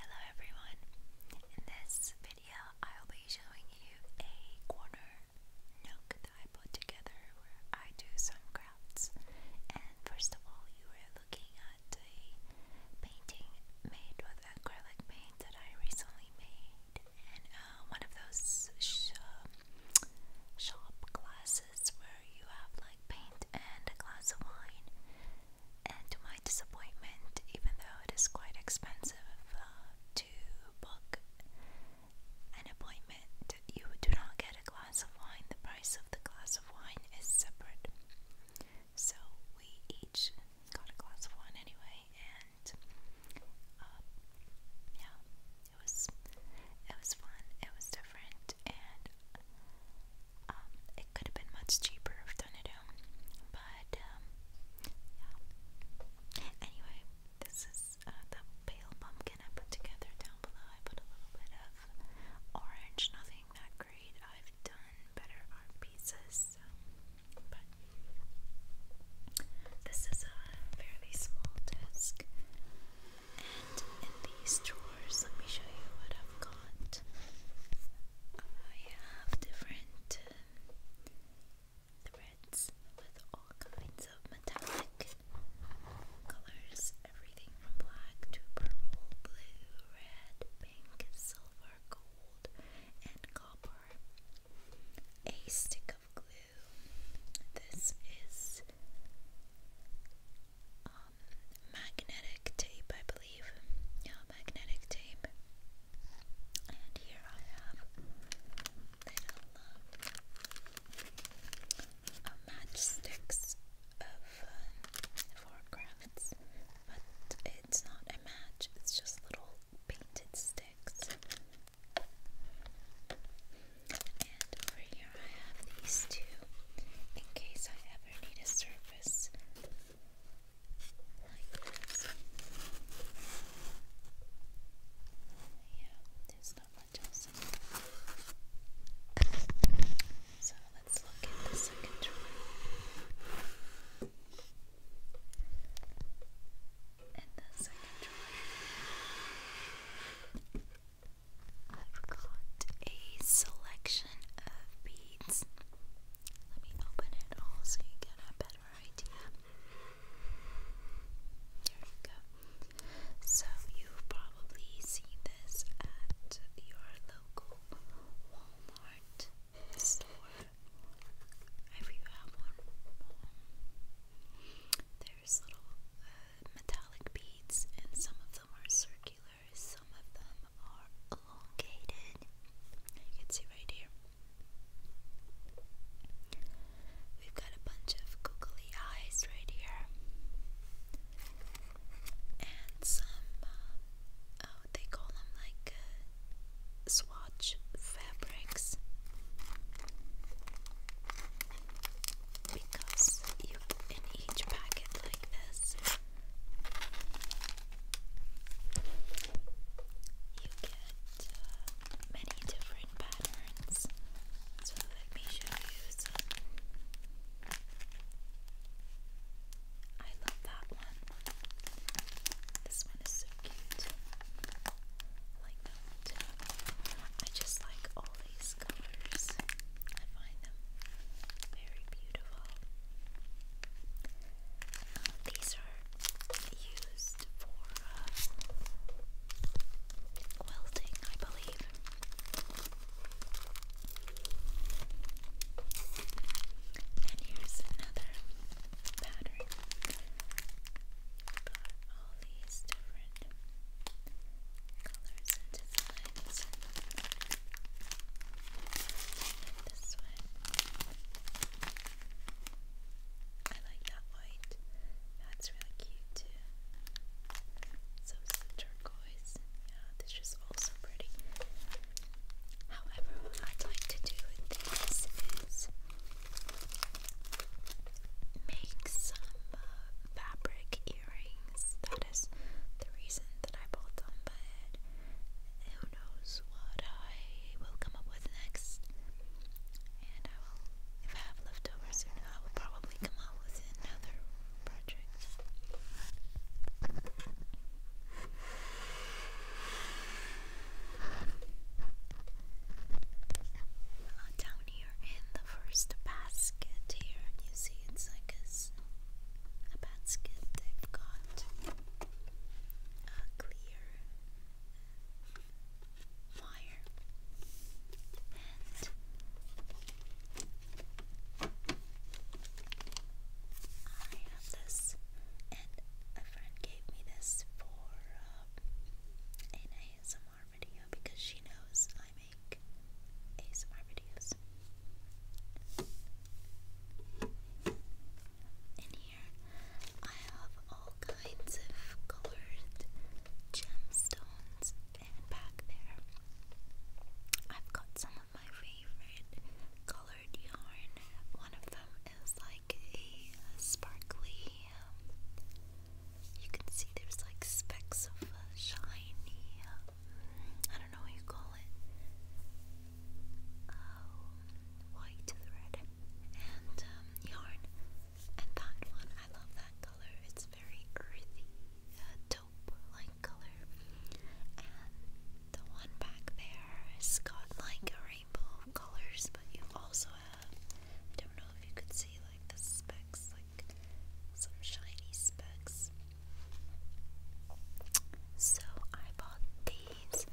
Hello everyone! In this video I'll be showing you a corner nook that I put together where I do some crafts and first of all you are looking at a painting made with acrylic paint that I recently made and uh, one of those shop glasses where you have like paint and a glass of wine and to my disappointment, even though it is quite expensive uh, to book an appointment, you do not get a glass of wine. The price of the glass of wine is separate. So we each got a glass of wine anyway, and uh, yeah, it was it was fun. It was different, and um, it could have been much cheaper if done at home, but um, yeah. Anyway, this is uh, the pale pumpkin I put together down below. I put a little bit of orange, nothing that great. I've done better art pieces, so, but this is a fairly small desk. And in these drawers, let me show you what I've got. I have different uh, threads with all kinds of metallic colors, everything from black to purple, blue, red, pink, silver, gold, and copper. A stick of glue. This is um, magnetic tape, I believe magnetic tape. And here I have little uh, matchsticks of crafts, but it's not a match, it's just little painted sticks. And over here I have these two in case I ever need a surface yeah, there's not much else So let's look at the second drawer. In the second drawer, I've got a selection of beads. Let me open it all so you get a better idea. There you go. So you've probably seen this at your local Walmart store. If you have one, there's little uh, metallic beads, and some of them are circular, some of them are elongated. You can see right here. We've got a bunch of googly eyes right here. And some, uh, oh, they call them like uh, swatch fabrics. Because you in each packet like this, you get uh, many different patterns. So let me show you some. I love that one. This one is so cute. like that one I just like all these colors. I find them very beautiful uh, these are used for uh, I believe. And here's another pattern. Got all these different colors and designs. this one. I like that white. That's really cute too. So is turquoise. Yeah, this is also pretty. However, what I'd like to do with this is make some uh, fabric earrings. That is the reason that I bought them, but knows what I will come up with next. And I will, if I have leftovers, I will probably come up with another project. Uh, down here in the first basket, here you see it's like a basket they've got uh, clear wire and I have this and um, a friend gave me this for an ASMR video because she knows I make ASMR videos and I have all kinds of colored gemstones back there I've got some of my favorite colored yarn. One of them is like a sparkly um, you can see there's like specks of uh, shiny um, I don't know what you call it um, white to and um, yarn. And that one, I love that color. It's very earthy, uh, taupe-like color. And the one back there has got like a rainbow of colors, but you also have, I don't know if you could see like the specks, like some shiny specks. So I bought the beads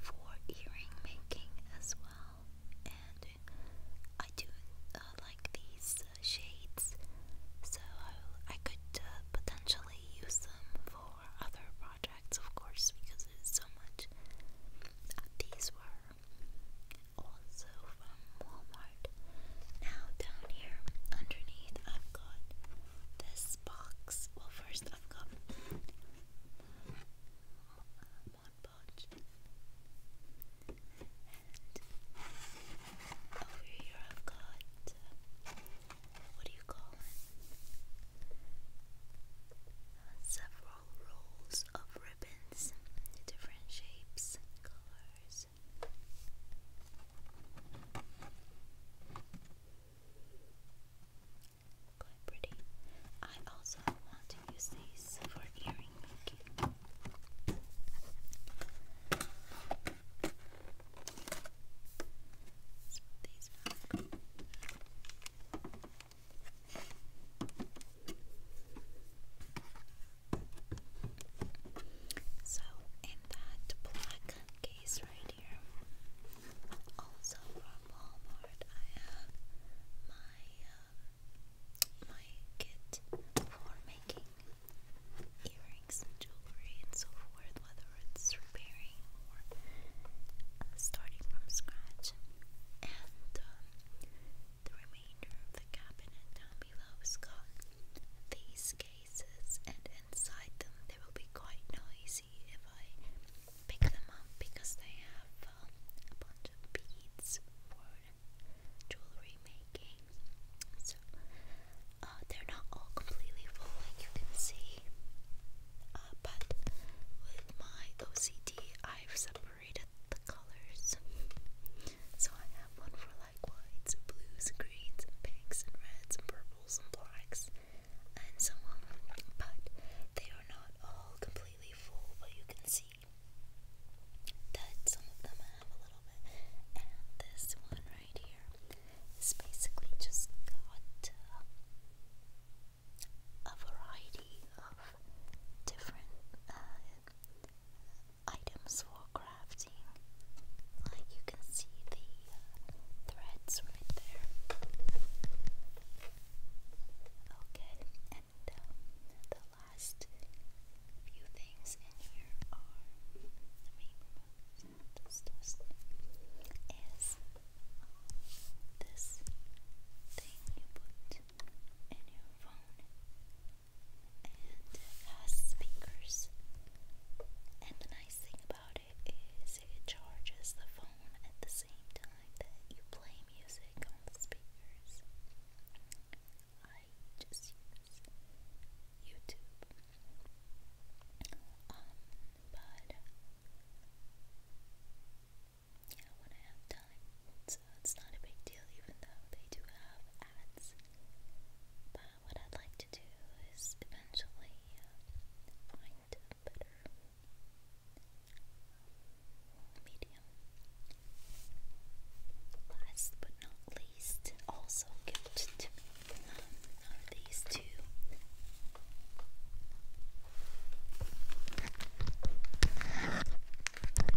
for earring making as well. And I do uh, like these uh, shades, so I, could uh, potentially use them for other projects, of course, because it's so much. these were also from Walmart. Now, down here underneath, I've got this box. Well, first, I've got Mod over here I've got, what do you call it? several rolls of ribbons, different shapes colors quite pretty. I also want to use these for earring making. So these back. So in that black case right dear. Also from Walmart, I have my uh, my kit for making earrings and jewelry and so forth, whether it's repairing or uh, starting from scratch. And um, the remainder of the cabinet down below has got these cases, and inside them there will be quite noisy if I pick them up because they have um, a bunch of beads for jewelry making. So uh, they're not all completely full, like you can see. Uh, but with my OCD, I've separated the colors. So I have one for like whites, blues, greens, and pinks, and reds, and purples, and blacks and so on, but they are not all completely full, but you can see that some of them have a little bit, and this one right here is basically just got uh, a variety of different uh, items for crafting. Like you can see the uh, threads right there. Okay, and um, the last few things in here are let me remove this thing you put in your phone and speakers? And the nice thing about it is it charges the phone at the same time that you play music on the speakers. I just use YouTube. Um, but yeah, when I have time, so uh, it's not a big deal, even though they do have ads. But what I'd like to do is eventually uh, find doing better. Medium. Last but not least, also gifted to these two.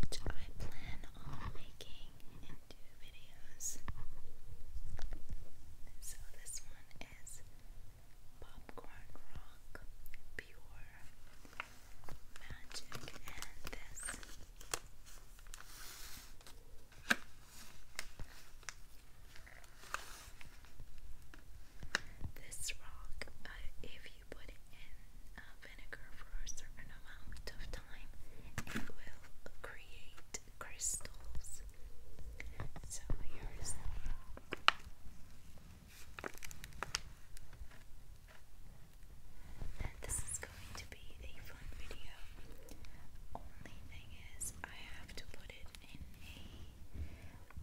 Which I plan on making into videos. So this one is popcorn rock, pure magic, and this. This rock, uh, if you put it in uh, vinegar for a certain amount of time, it will create crystals. So here's the this is going to be a fun video. Only thing is, I have to put it in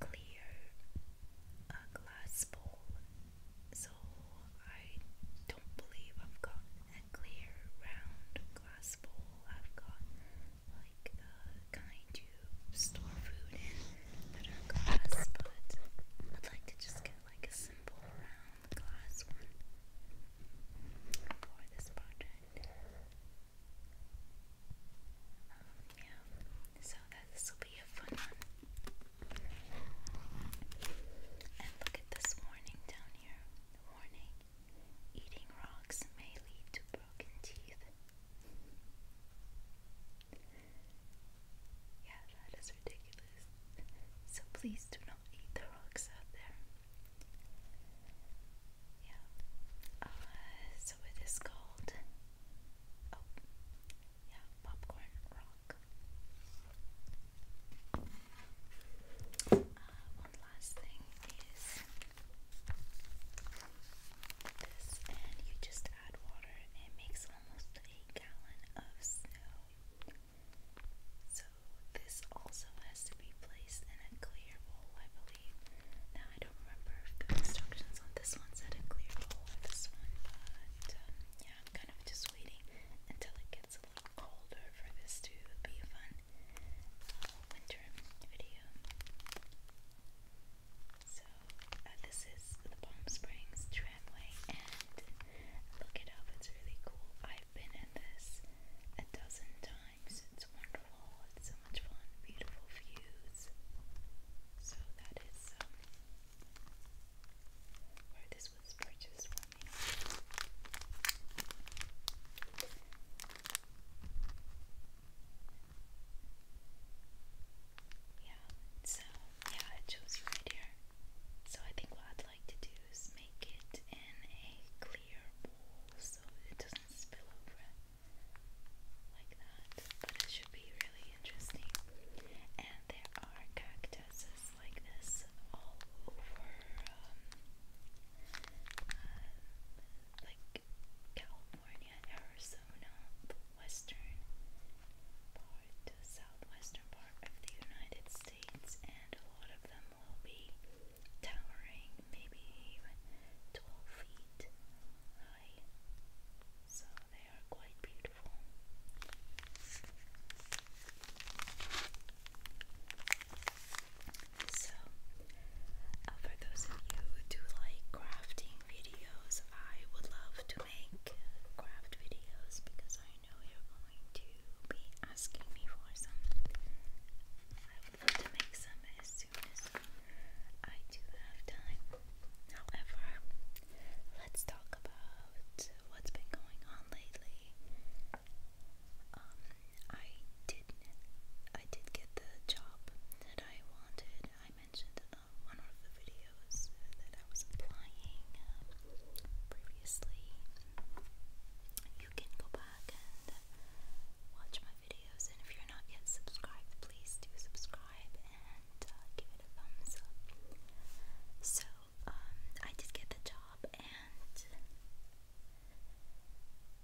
a clear glass bowl. So I don't believe I've got a clear round glass bowl. I've got like a kind you store food in that glass, but I'd like to just get like a simple round glass one for this project. Um, yeah, so that this will be a fun one. And look at this warning down here. Warning. Eating rocks may lead to broken teeth. Yeah, that is ridiculous. So please do not eat the rocks out there. Yeah. Uh, so it is called. Oh, yeah, popcorn rock. Uh, one last thing is this and you just add water and makes almost a gallon of snow. So this also has to be placed in a clear bowl, I believe. Now I don't remember the instructions on this one said a clear bowl or this one, but um, yeah, I'm kind of just waiting until it gets a little colder for this to be a fun uh, winter video. So uh, this is the Palm Springs tramway, and look it up. It's really cool. I've been in this a dozen times. It's wonderful. It's so much fun. Beautiful views. So that is um, where this was purchased for yeah, so yeah, it shows you right here. So I think what I'd like to do is make it in a clear bowl so it doesn't spill over like that. But it should be really interesting. And there are cactuses like this all over um, uh, like California, Arizona. Arizona, the western part, the southwestern part of the United States, and a lot of them will be towering maybe even 12 feet high. So they are quite beautiful. So, uh, for those of you who do like crafting videos. I would love to make craft videos because I know you're going to be asking me for some. I would love to make some as soon as I do have time. However, let's talk about what's been going on lately. Um, I did, I did get the job that I wanted. I mentioned uh, on one of the videos uh, that I was applying um, previously. You can go back and watch my videos, and if you're not yet subscribed, please do subscribe and uh, give it a thumbs up. So, um, I did get the job, and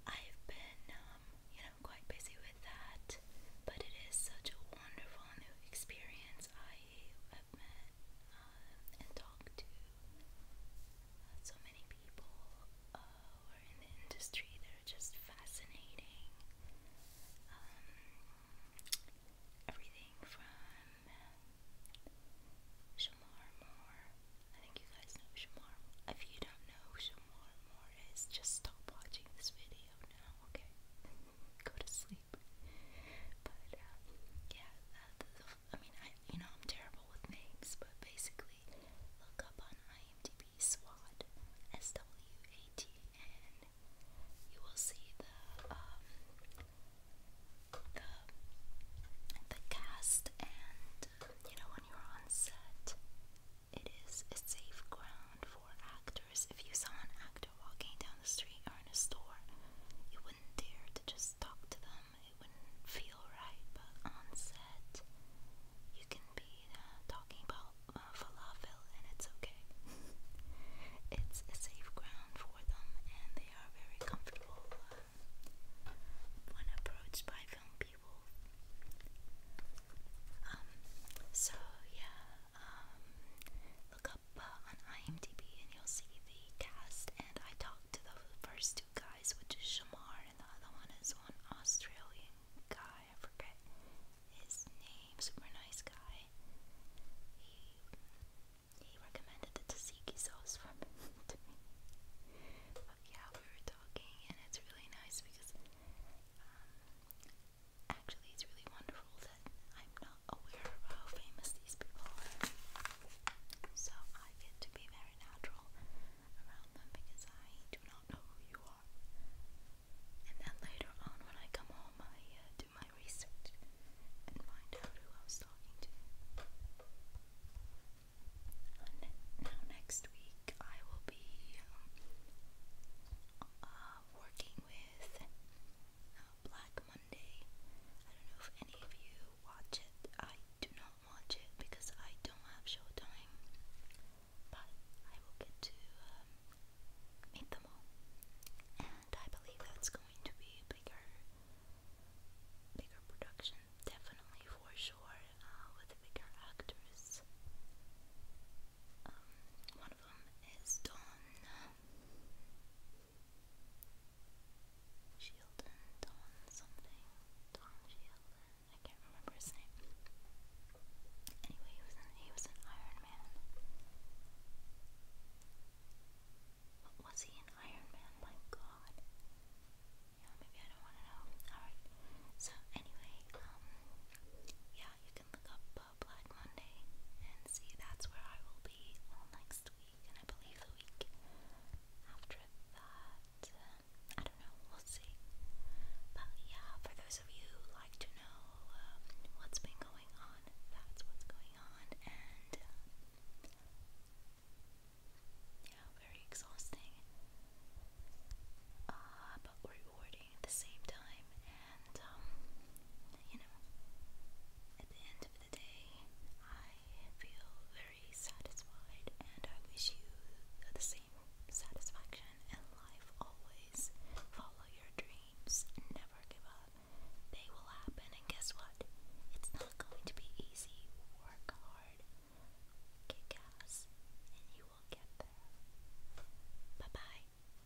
I've been, um, you know, quite busy with that, but it is such a wonderful new experience. I have met uh, and talked to uh, so many people uh, in the industry that are just fascinating. Um, everything from Shamar Moore. I think you guys know Shamar. If you don't know who Moore is, just stop watching this video now, okay? go to sleep. But uh, yeah, I mean, I you know I'm terrible with names, but basically, look up on IMDb SWAT, S W A T, and you will see the um, the the cast and uh, you know when you're on set. It is a safe ground for actors actors, if you saw an actor walking down the street or in a store, you wouldn't dare to just talk to them. It wouldn't feel right. But on set, you can be uh, talking about uh, falafel, and it's okay. it's a safe ground for them, and they are very comfortable uh, when approached by film people. Um, so yeah, um, look up uh, on IMDb and you'll see the cast. And I talked to the first two guys, which is Shamar, and the other one is one Australian guy. I forget his name. Super nice guy. He he recommended the tzatziki sauce for me to yeah, we were talking, and it's really nice because um, Actually, it's really wonderful that I'm not aware of how famous these people are. So I get to be very natural around them because I do not know who you are. And then later on, when I come home, I uh, do my research and find out who I was talking to. Ne now, next week, I will be um, uh, working with uh, Black Monday. I don't know if any of you watch it. I do not watch it because I don't have Showtime, but I will get to um, meet them all, and I believe that's going to be a bigger, bigger production, definitely for sure, uh, with bigger actors. Um, one of them is Dawn Shielden, Dawn something, Dawn Shielden. I can't remember his name. Anyway, he was he was an Iron Man. was he an Iron Man? My God. Yeah, maybe I don't want to know. All right. So anyway, um, yeah, you can look up. Uh, Black Monday, and see, that's where I will be all next week, and I believe the week after that. Um, I don't know, we'll see. But yeah, for those of you who like to know um, what's been going on, that's what's going on, and um, yeah, very exhausting. Uh, but we're rewarding at the same time, and um, you know, at the end of the day, I feel very satisfied, and I wish you the same satisfaction in life always. Follow your dreams, never give up. They will happen, and guess what? It's not going to be easy. Work hard, kick ass, and you will get there. Bye bye.